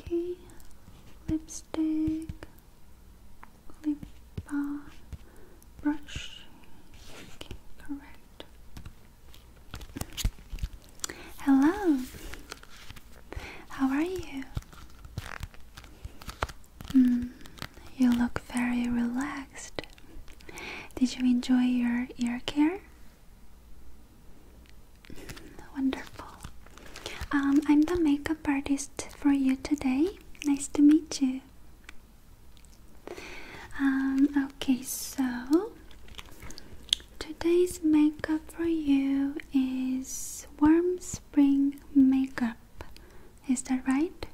Okay, lipstick, lip balm, brush. Okay, correct. Hello. How are you? Mm, you look very relaxed. Did you enjoy your ear care? Wonderful. Um, I'm the makeup artist for you today. Nice to meet you. Um, okay, so today's makeup for you is warm spring makeup. Is that right?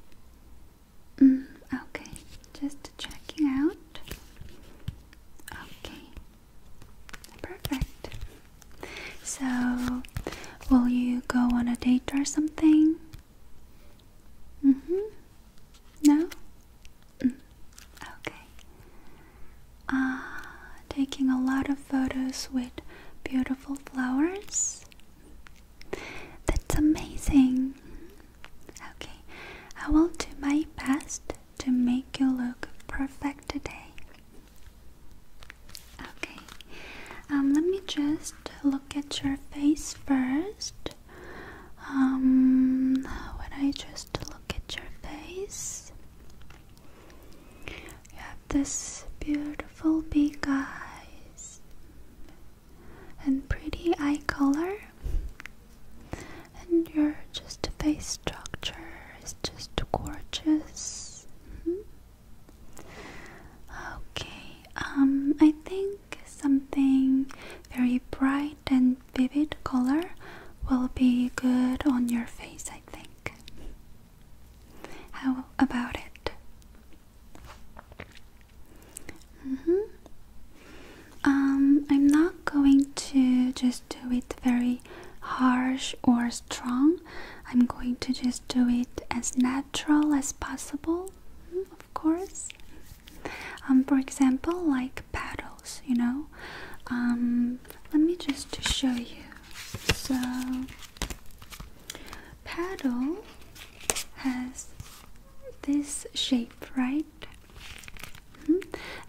Mm, okay, just checking out. Okay, Perfect. So, will you go on a date or something? Mm-hmm. Mm hmm. No? Okay. Uh, taking a lot of photos with beautiful flowers? That's amazing. Okay, I will do my best to make you look perfect today. Okay, um, let me just look at your face first. Um, when I just look at your face, you have this beautiful big eyes and pretty eye color and your just face structure is just gorgeous. Mm-hmm. Okay, um, I think something very bright and vivid color will be good on your face. I think. How about it? Mm-hmm. Um, I'm not going to just do it very harsh or strong. I'm going to just do it as natural as possible, mm, of course. Um, for example, like paddles, you know. Um, let me just show you. So, paddle has this shape, right? Hmm?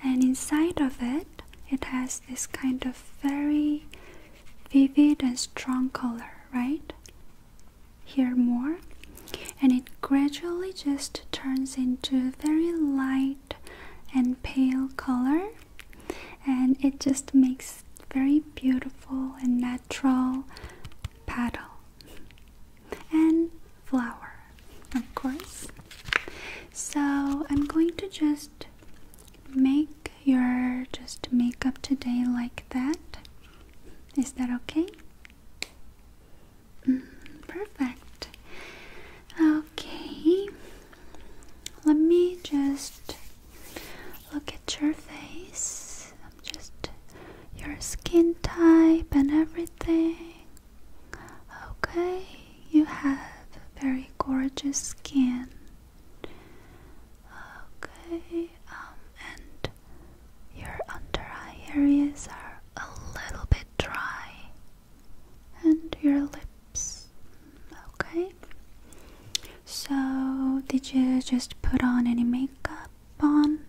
And inside of it, it has this kind of very vivid and strong color, right? Here more. And it gradually just turns into very light and pale color. And it just makes very beautiful and natural petal and flower of course. So I'm going to just make your just makeup today like that. Is that okay? Mm, perfect. Okay. Let me just look at your face. Just your skin type and everything. Okay, you have very gorgeous skin. Okay, um, and your under eye areas are a little bit dry, and your lips. Okay, so did you just put on any makeup on?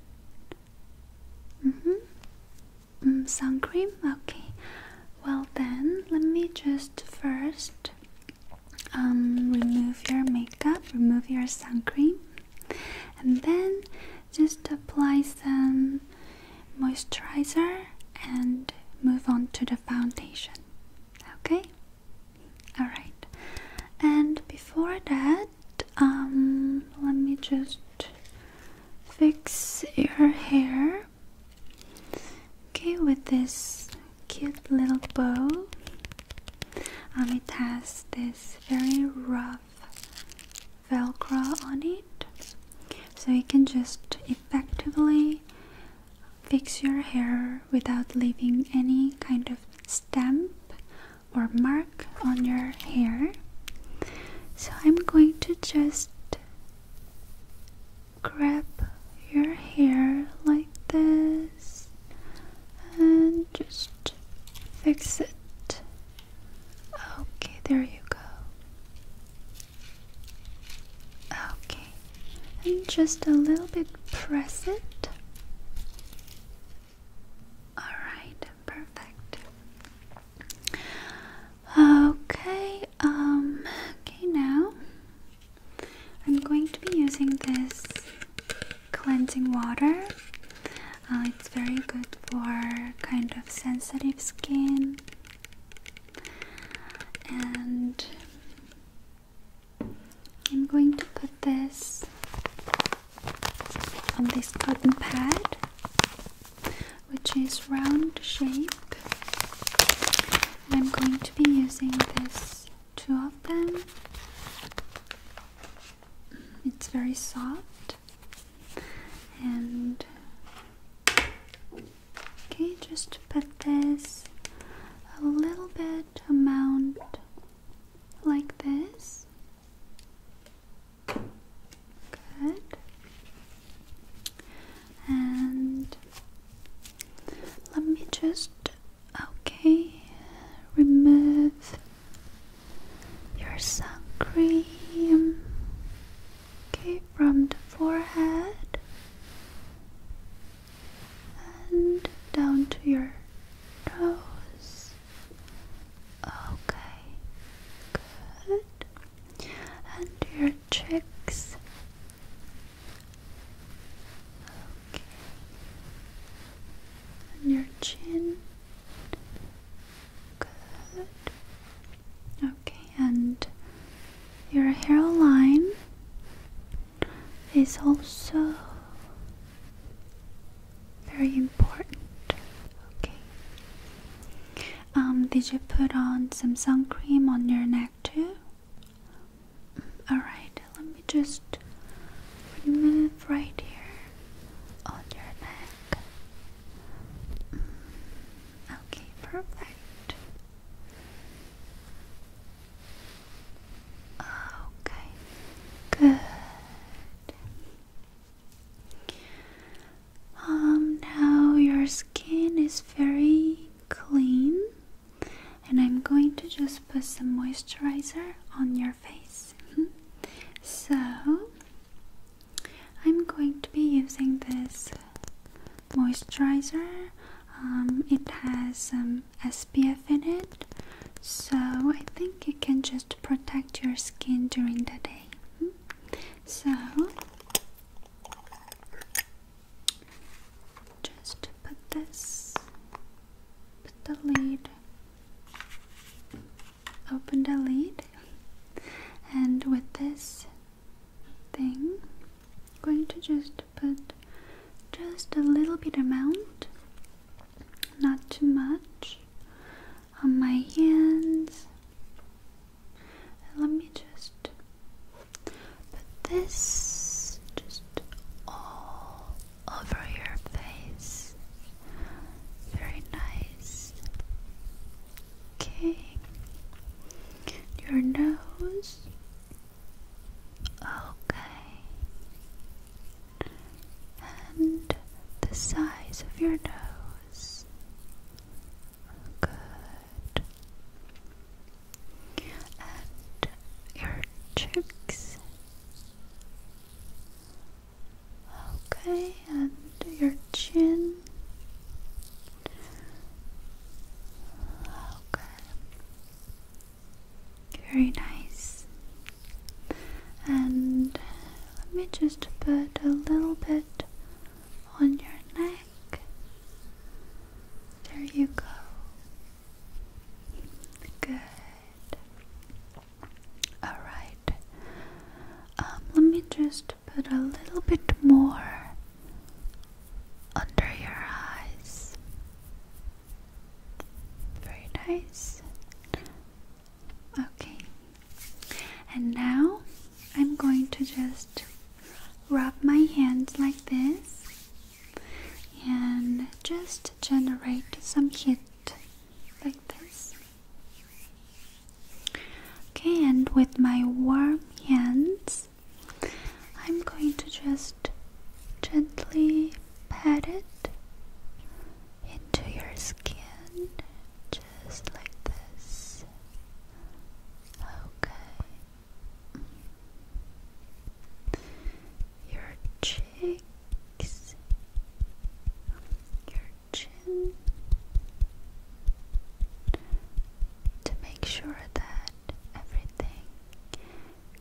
Mm hmm. Mm, sun cream? Okay. Well, then, let me just first um, remove your makeup, remove your sun cream, and then just apply some moisturizer and move on to the foundation. Okay? Alright. And before that, um, let me just fix your hair Okay, with this cute little bow, um, it has this very rough velcro on it, so you can just effectively fix your hair without leaving any kind of stamp or mark on your hair. So I'm going to just grab your hair like this and just fix it. Okay, there you go. Okay, and just a little bit press it. Alright, perfect. Okay, um, okay, now I'm going to be using this cleansing water. Uh, it's very good for kind of sensitive skin and I'm going to put this on this cotton pad which is round shape. I'm going to be using this two of them. It's very soft and okay, just put this a little bit amount like this. Good. And let me just okay remove your sun cream okay from the forehead and down to your nose okay good and your matrix. Okay. On your chin. Good. Okay, and your hairline is also very important. Okay. Um, did you put on some sun cream on your neck too? Alright, let me just remove right here on your neck. Mm, okay, perfect. Okay, good. Um, now your skin is very clean, and I'm going to just put some moisturizer on your face. so, I'm going to be using this moisturizer. Um, it has some SPF in it, so I think it can just protect your skin during the day. Hmm? So, just put this, put the lid, open the lead. and with this thing, I'm going to just put just a little bit amount, not too much, on my hands and let me just put this just all over your face. Very nice. Okay. Your nose. Okay. And the size of your nose. Good. And your cheeks. Okay, and your chin. Okay. Very nice. And let me just put a little bit on your neck. There you go. Good. Alright. Um, let me just put a little bit more under your eyes. Very nice. Okay. And now I'm going to just rub my hands like this and just generate some heat like this. Okay, and with my warm hands, I'm going to just gently pat it into your skin just like this. Okay. Your cheeks, your chin, to make sure that everything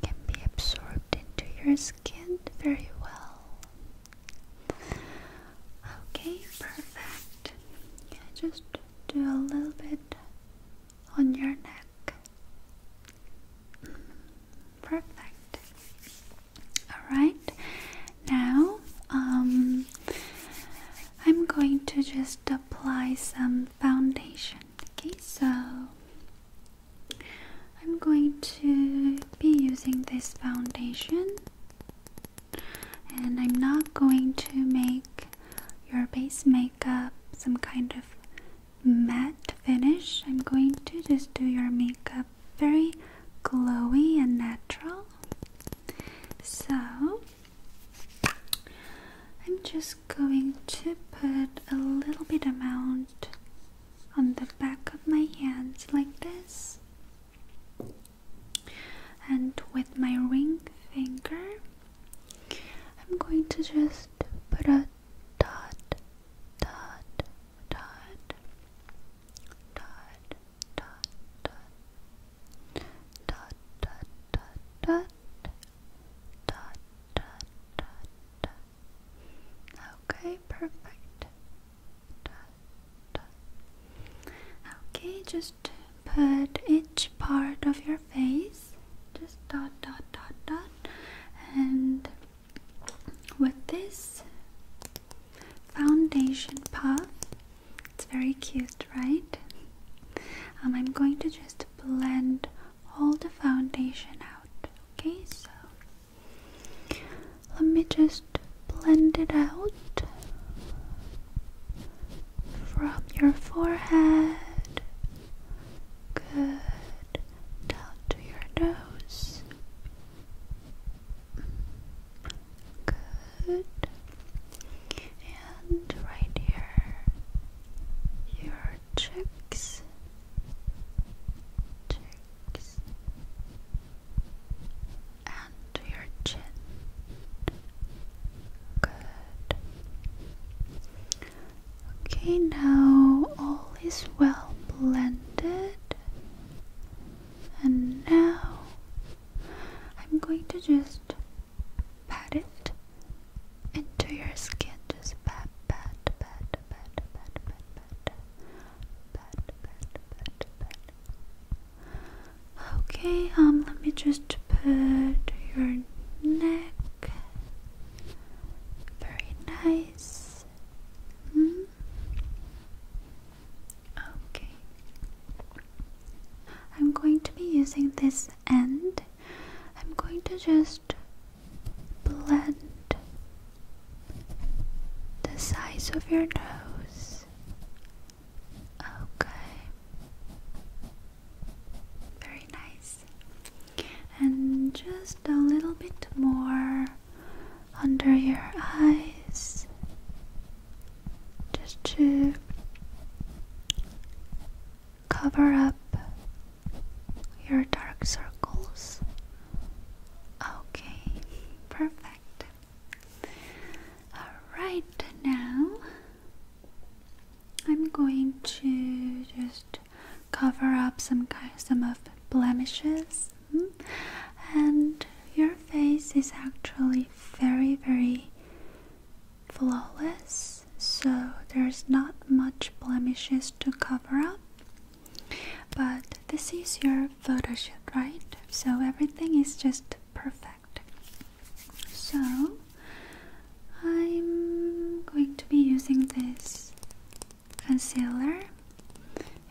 can be absorbed into your skin very well. Okay, perfect. Yeah, just do a little bit on your neck. Perfect. Alright, now um, I'm going to just apply some foundation. Okay, so I'm going to be using this foundation and I'm not going to make your base makeup some kind of matte finish. I'm going to just do your makeup very glowy and natural. So I'm just going to put a little bit amount on the back of my hands like this and with my ring finger, I'm going to just put a dot, dot, dot, dot, dot, dot, dot, dot, dot, dot, dot, dot, dot, dot. Okay, perfect. Dot, Okay, just put each part of your face, just dot, dot, dot, dot, and with this foundation puff, it's very cute, right? Um, I'm going to just blend all the foundation out. Okay, so let me just blend it out from your forehead. Good. Down to your nose. Good. And right here, your Cheeks and to your chin. Good. Okay, now all is well blended. And now I'm going to just pat it into your skin. Just pat, pat, pat, pat, pat, pat, pat, pat, pat, pat, pat, pat. Okay, um, let me just put your neck. Very nice. -hmm. Okay. I'm going to be using this end. I'm going to just blend the size of your nose Okay. Very nice. And just a little bit more under your eyes. Just to cover up your dark circles. Okay, perfect. Alright, now I'm going to just cover up some some of blemishes, hmm? and your face is actually very, very flawless, so there's not much blemishes to cover up. But this is your photo shoot, right? So everything is just perfect. So, I'm going to be using this concealer.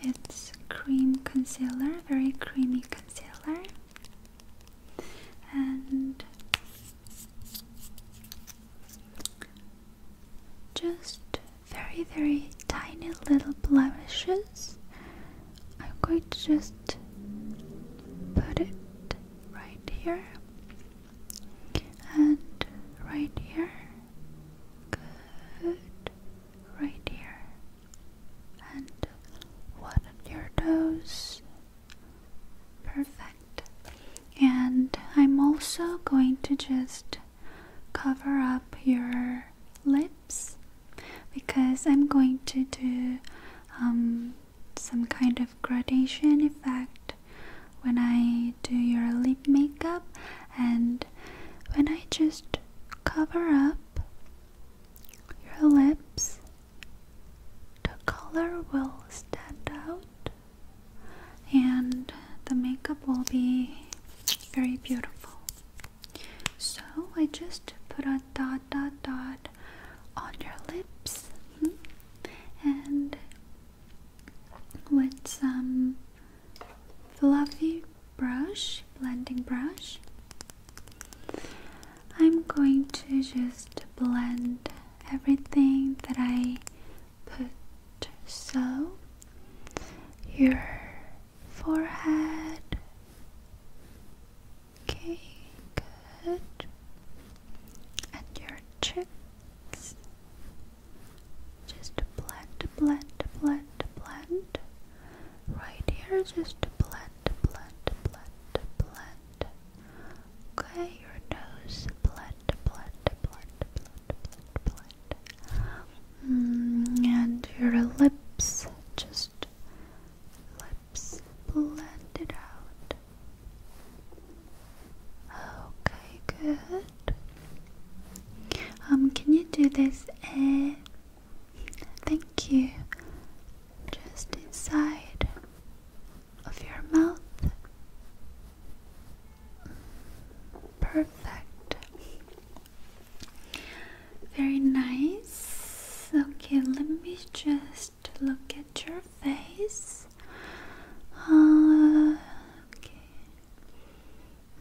It's cream concealer, very creamy concealer. And just very, very tiny little blemishes I'm going to just put it right here and right here. Good. Right here. And one of your toes. Perfect. And I'm also going to just cover up your lid because I'm going to do um, some kind of gradation effect when I do your lip makeup and when I just cover up your lips the color will stand out and the makeup will be very beautiful so I just put a dot dot dot on your lips hmm, and with some fluffy brush, blending brush, I'm going to just blend everything that I put so your forehead Okay, good. And your cheeks. Just blend, blend, blend, blend. Right here, just blend, blend, blend, blend. Okay, your nose. Blend, blend, blend, blend, blend, mm, and your lips. Just lips blended out. Okay, good. Um, can you do this? Uh, thank you. Just inside of your mouth. Perfect. Very nice. Okay, let me just look at your face. Uh, okay.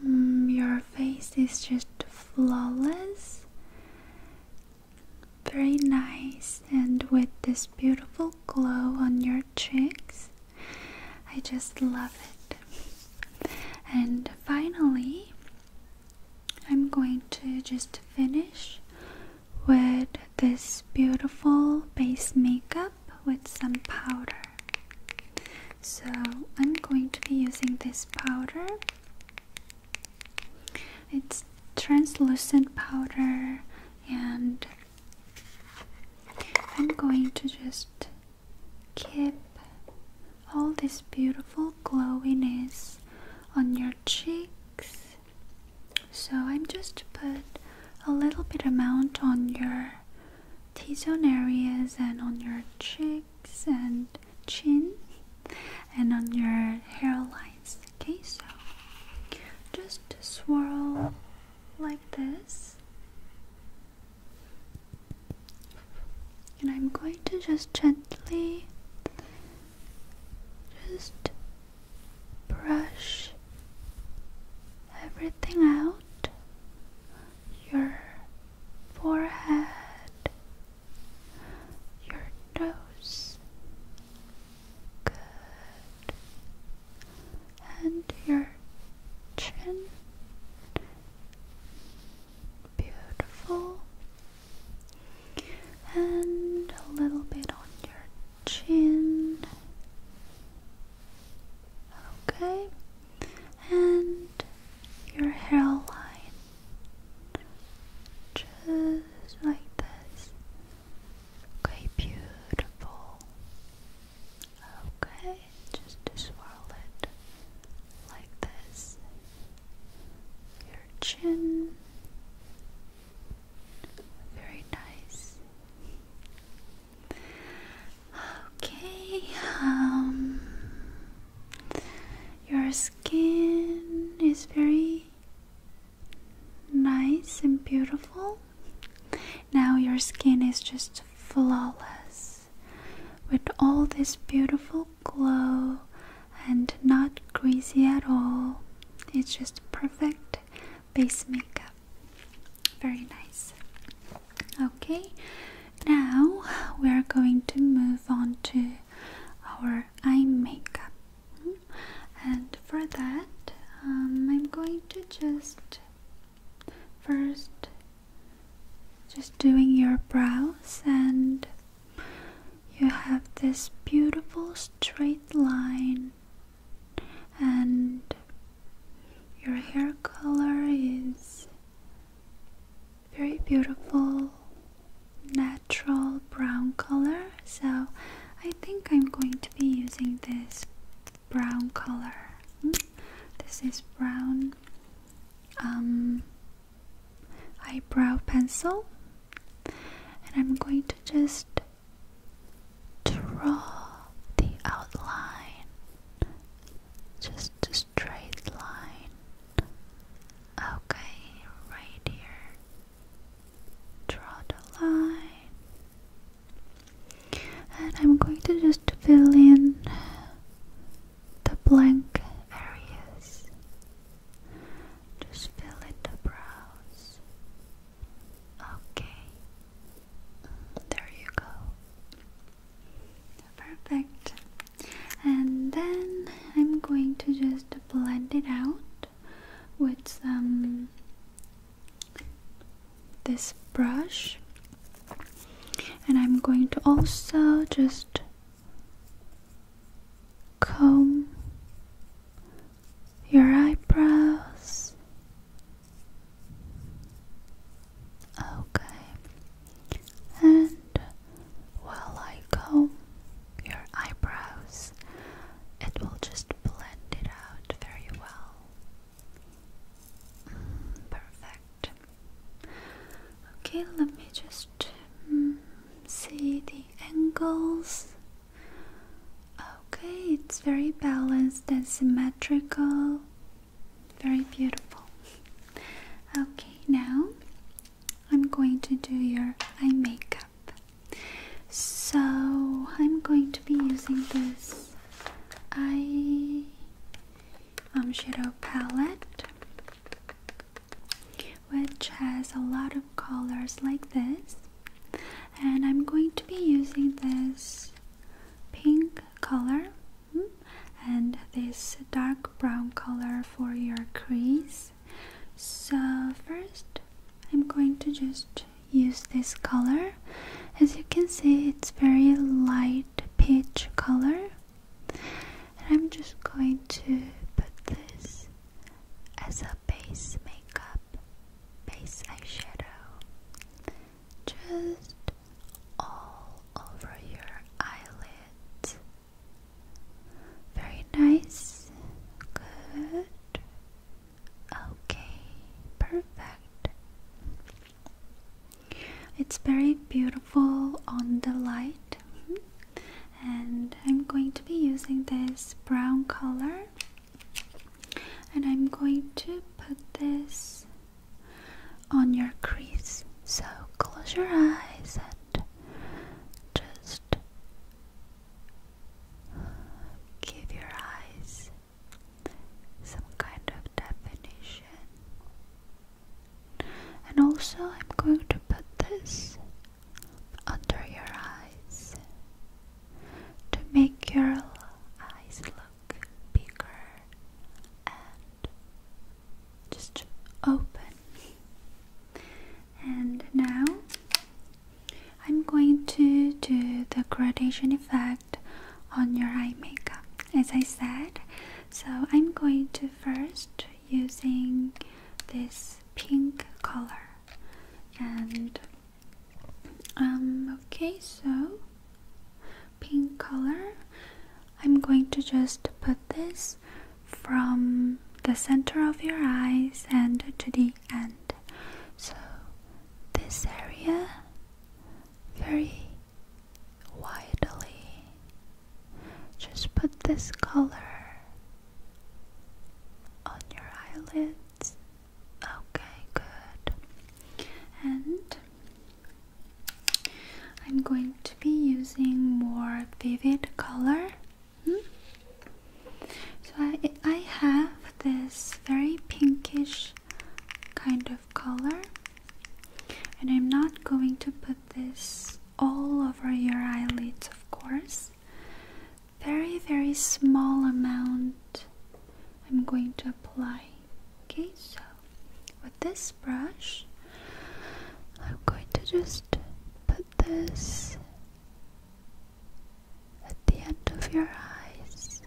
Mm, your face is just flawless. Very nice, and with this beautiful glow on your cheeks, I just love it. And finally, I'm going to just finish with this beautiful base makeup with some powder. So, I'm going to be using this powder. It's translucent powder, and I'm going to just keep all this beautiful glowiness on your cheeks. So I'm just put a little bit amount on your T-zone areas and on your cheeks and chin and on your hairlines. Okay, so just swirl like this and I'm going to just gently just brush everything out your forehead, your nose, good, and your chin. Beautiful and a little bit on your chin. Okay, and your hairline just like this. Okay, beautiful. Okay, just swirl it like this your chin. Very nice. Okay, um, your skin is very nice and beautiful. Now your skin is just flawless with all this beautiful glow and not greasy at all. It's just perfect base makeup. Very nice. Okay, now we are going to move on to our eye makeup. And for that, um, I'm going to just first just doing your brows and you have this beautiful straight line, and your hair color is very beautiful, natural brown color. So, I think I'm going to be using this brown color. Hmm? This is brown. Um, eyebrow pencil and I'm going to just draw the outline, just a straight line. Okay, right here. Draw the line, and I'm going to just fill in the blank areas. Just fill in the brows. Okay. There you go. Perfect. And then I'm going to just blend it out with some this brush. And I'm going to also just comb your eyebrows. Okay, and while I comb your eyebrows, it will just blend it out very well. Mm, perfect. Okay, let me just Hmm, see the angles. Okay, it's very balanced and symmetrical. Very beautiful. Okay, now I'm going to do your eye makeup. So I'm going to be using this eye um, shadow palette which has a lot of colors like this and I'm going to be using this pink color hmm, and this dark brown color for your crease so first I'm going to just use this color as you can see it's very light peach color and I'm just going to put this as a base makeup, base eyeshadow, just all over your eyelids. Very nice. Good. Okay, perfect. It's very beautiful full on the light and I'm going to be using this brown color and I'm going to put this on your crease so close your eyes and just give your eyes some kind of definition and also, I'm going to put this under your eyes to make your eyes look bigger and just open. And now I'm going to do the gradation effect on your eye makeup, as I said. So I'm going to first using this pink color and um okay so pink color I'm going to just put this from the center of your eyes and to the end so this area very widely just put this color on your eyelids. Okay, good. And I'm going to be using more vivid color. Hmm? So I, I have this very pinkish kind of color, and I'm not going to put this all over your eyelids, of course. Very, very small amount I'm going to apply. Okay, so with this brush, I'm going to just put this at the end of your eyes.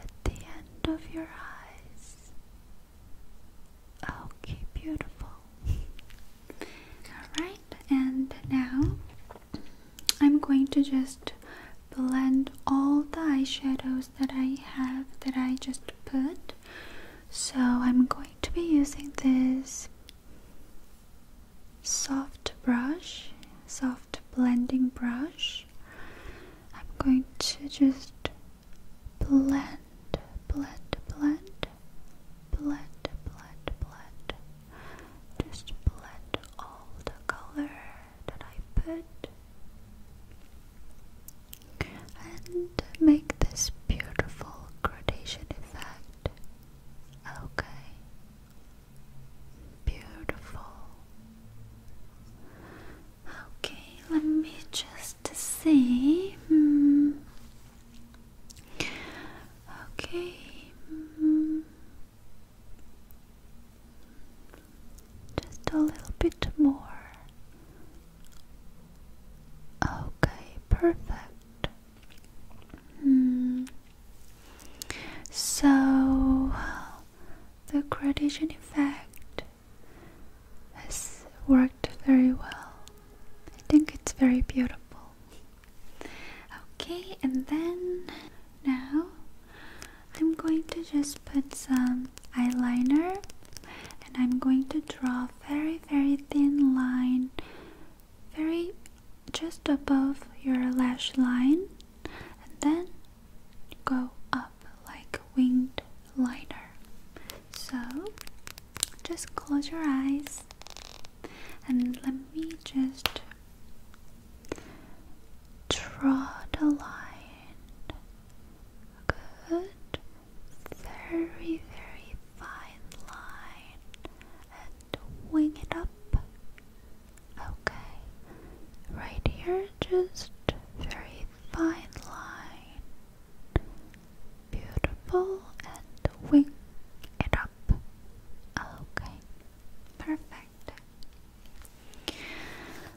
At the end of your eyes. Okay, beautiful. Alright, and now I'm going to just blend all the eyeshadows that I have that I just put. So I'm going to be using this soft brush, soft blending brush. I'm going to just blend, blend, blend, blend, blend, blend. Just blend all the color that I put and make this beautiful gradation effect. Okay, beautiful. Okay, let me just see. Hmm. Okay. Hmm. Just a little bit more. Okay, perfect. Hmm. So, the gradation effect has worked very well. I think it's very beautiful. Okay, and then now I'm going to just put some eyeliner and I'm going to draw a very very thin line very just above your lash line and then go up like winged liner so just close your eyes and let me just draw the line. Good. Very, very fine line. And wing it up. Okay. Right here, just very fine line. Beautiful and wing it up. Okay, perfect.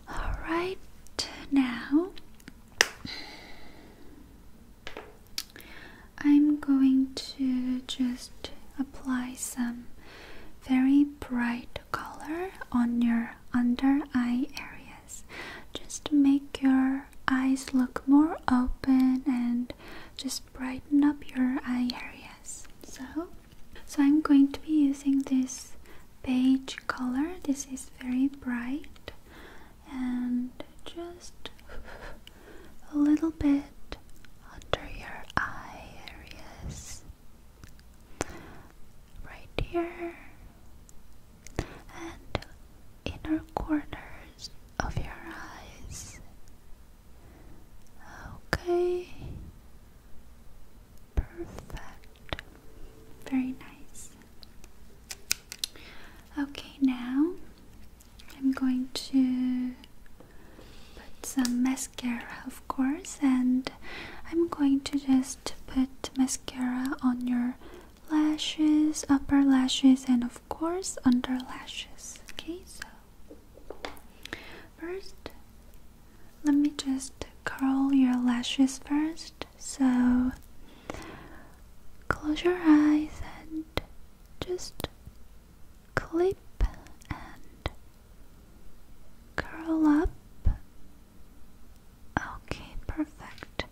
Alright, now I'm going to just apply some very bright color on your under eye areas just to make your eyes look more open and just brighten up your eye areas. So, so I'm going to be using this beige color. This is very bright and just a little bit under your eye areas. Right here and inner corners of your eyes. Okay, perfect, very nice. Okay, now I'm going to put some mascara, of course, and I'm going to just put mascara on your lashes, upper lashes, and of course under lashes. Okay, so first, let me just curl your lashes first. So close your eyes and just clip and curl up Okay, perfect.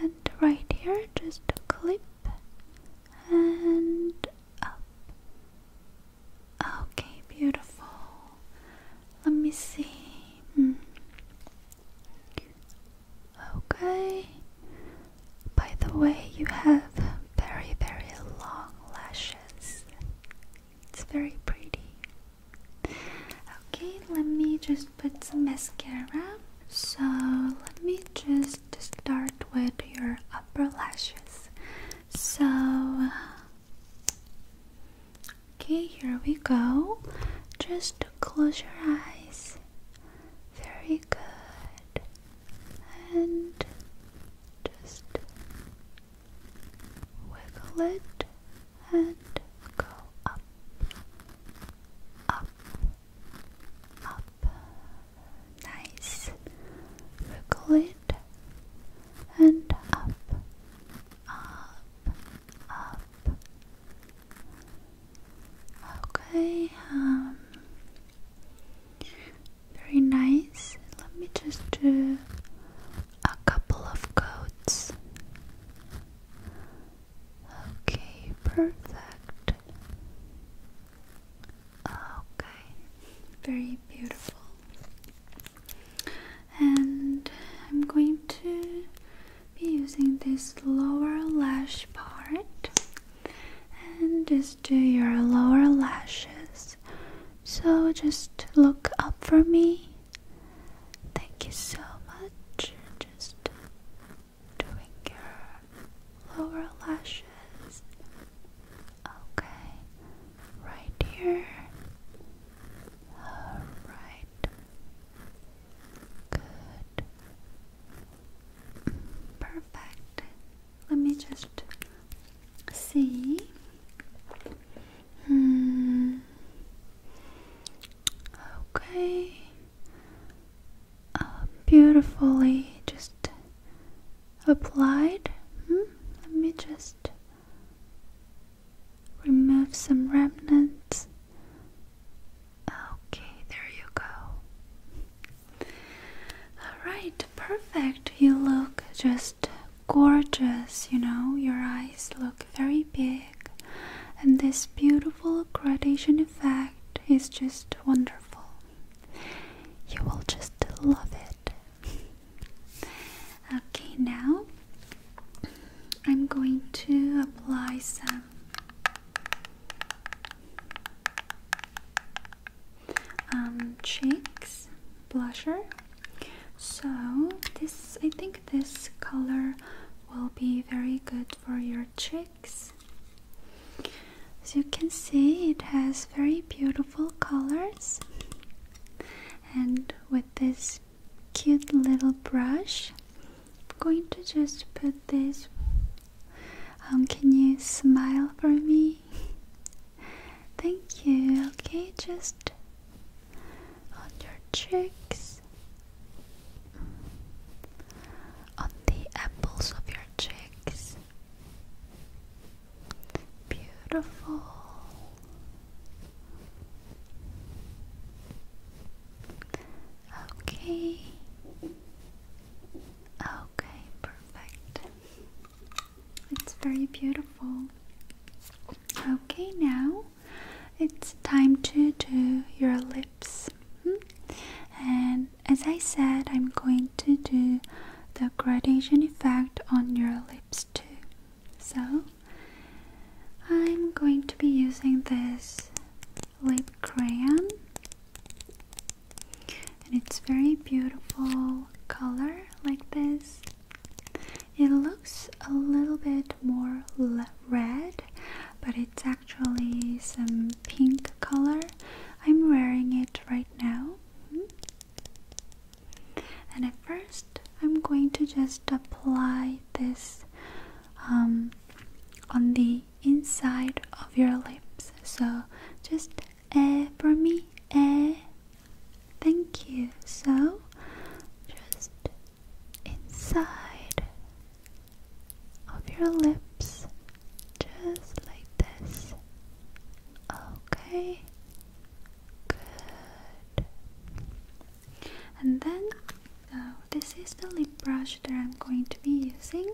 And right here, just clip and up. Okay, beautiful. Let me see. Hmm. Okay. By the way, you have very, very long lashes. It's very pretty. Okay, let me just put some mascara. So, let me just start with your upper lashes. So, okay, here we go. Just close your eyes. Very good. And just wiggle it and go up, up, up. Nice. Wiggle it and up, up, up. Okay, um, very nice. Let me just do a couple of coats. Okay, perfect. Okay, very beautiful. And I'm going to be using this lower lash part and just do your lower lashes. So just look up for me Thank you so much. Just doing your lower lashes. Okay, right here. Alright. Good. Perfect. Let me just see. Hmm. Okay. Um, beautifully just applied. Hmm, let me just remove some remnants. Okay, there you go. Alright, perfect. You look just gorgeous, you know, your eyes look very big and this beautiful gradation effect is just wonderful. You will just love it. okay, now I'm going to apply some um, cheeks blusher. So this I think this color will be very good for your cheeks. As you can see, it has very beautiful colors. And with this cute little brush, I'm going to just put this. Um, can you smile for me? Thank you. Okay, just on your cheeks, on the apples of your cheeks. Beautiful. Okay. Okay, perfect. It's very beautiful. Okay, now it's time to do your lips. Hmm? And as I said, I'm going to do the gradation effect on your lips too. So I'm going to be using this lip crayon, and it's very beautiful color like this. It looks a little bit more red but it's actually some pink color. I'm wearing it right now. Mm-hmm. And at first, I'm going to just apply this um, on the inside of your lips. So just eh for me, eh. Thank you. So just inside of your lips, just like this. Okay, good. And then uh, this is the lip brush that I'm going to be using,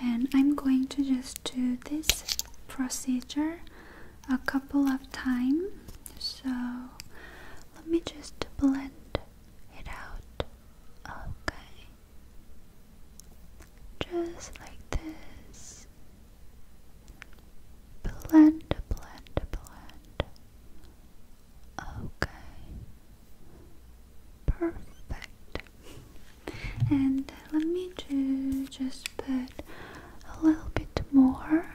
and I'm going to just do this procedure a couple of times. So let me just blend it out. Okay. Just like this. Blend, blend, blend. Okay. Perfect. And let me do just put a little bit more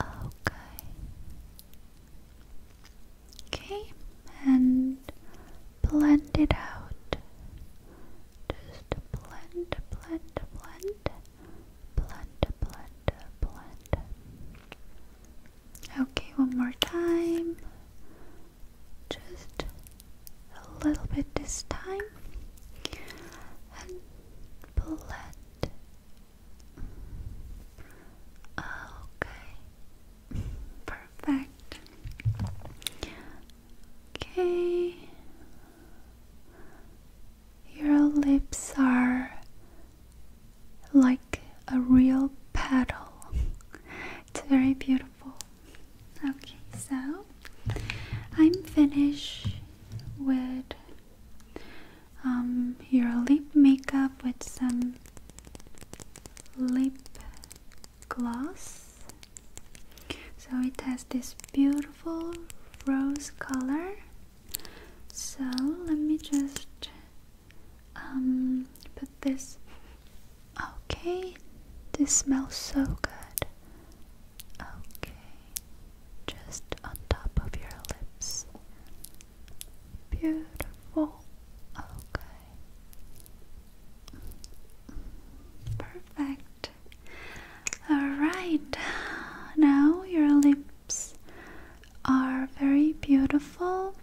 Okay. Okay, and blend it out. Just blend, blend, blend, blend, blend, blend. Okay, one more time. Just a little bit this time. And blend Okay. Perfect. Okay. Your lips are like a real petal. It's very beautiful. Okay, so I'm finished with um, your lip makeup with some lip gloss. So it has this beautiful rose color. So let me just um, put this. Okay, this smells so good. Okay just on top of your lips. Beautiful. Okay. Perfect. Alright. Now your lips are very beautiful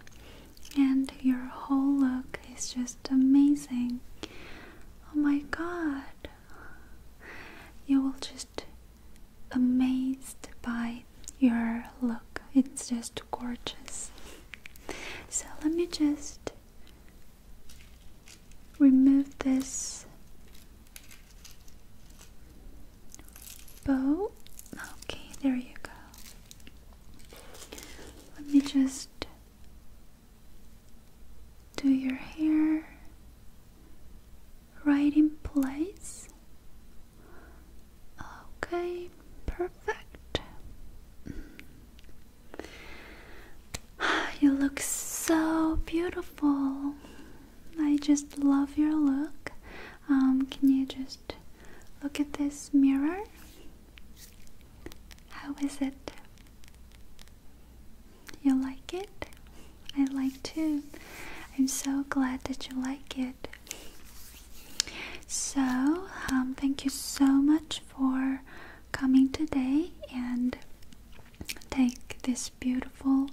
and your whole look is just amazing. Oh my god. You will just amazed by your look. It's just gorgeous. So let me just remove this bow. Okay, there you go. Let me just do your hair right in place. Okay, perfect. You look so beautiful. I just love your look. Um, can you just look at this mirror? How is it? You like it? I like too. I'm so glad that you like it. So, um, thank you so much for coming today and take these beautiful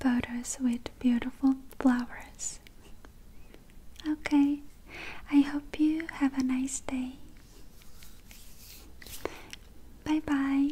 photos with beautiful flowers. Okay, I hope you have a nice day. Bye bye.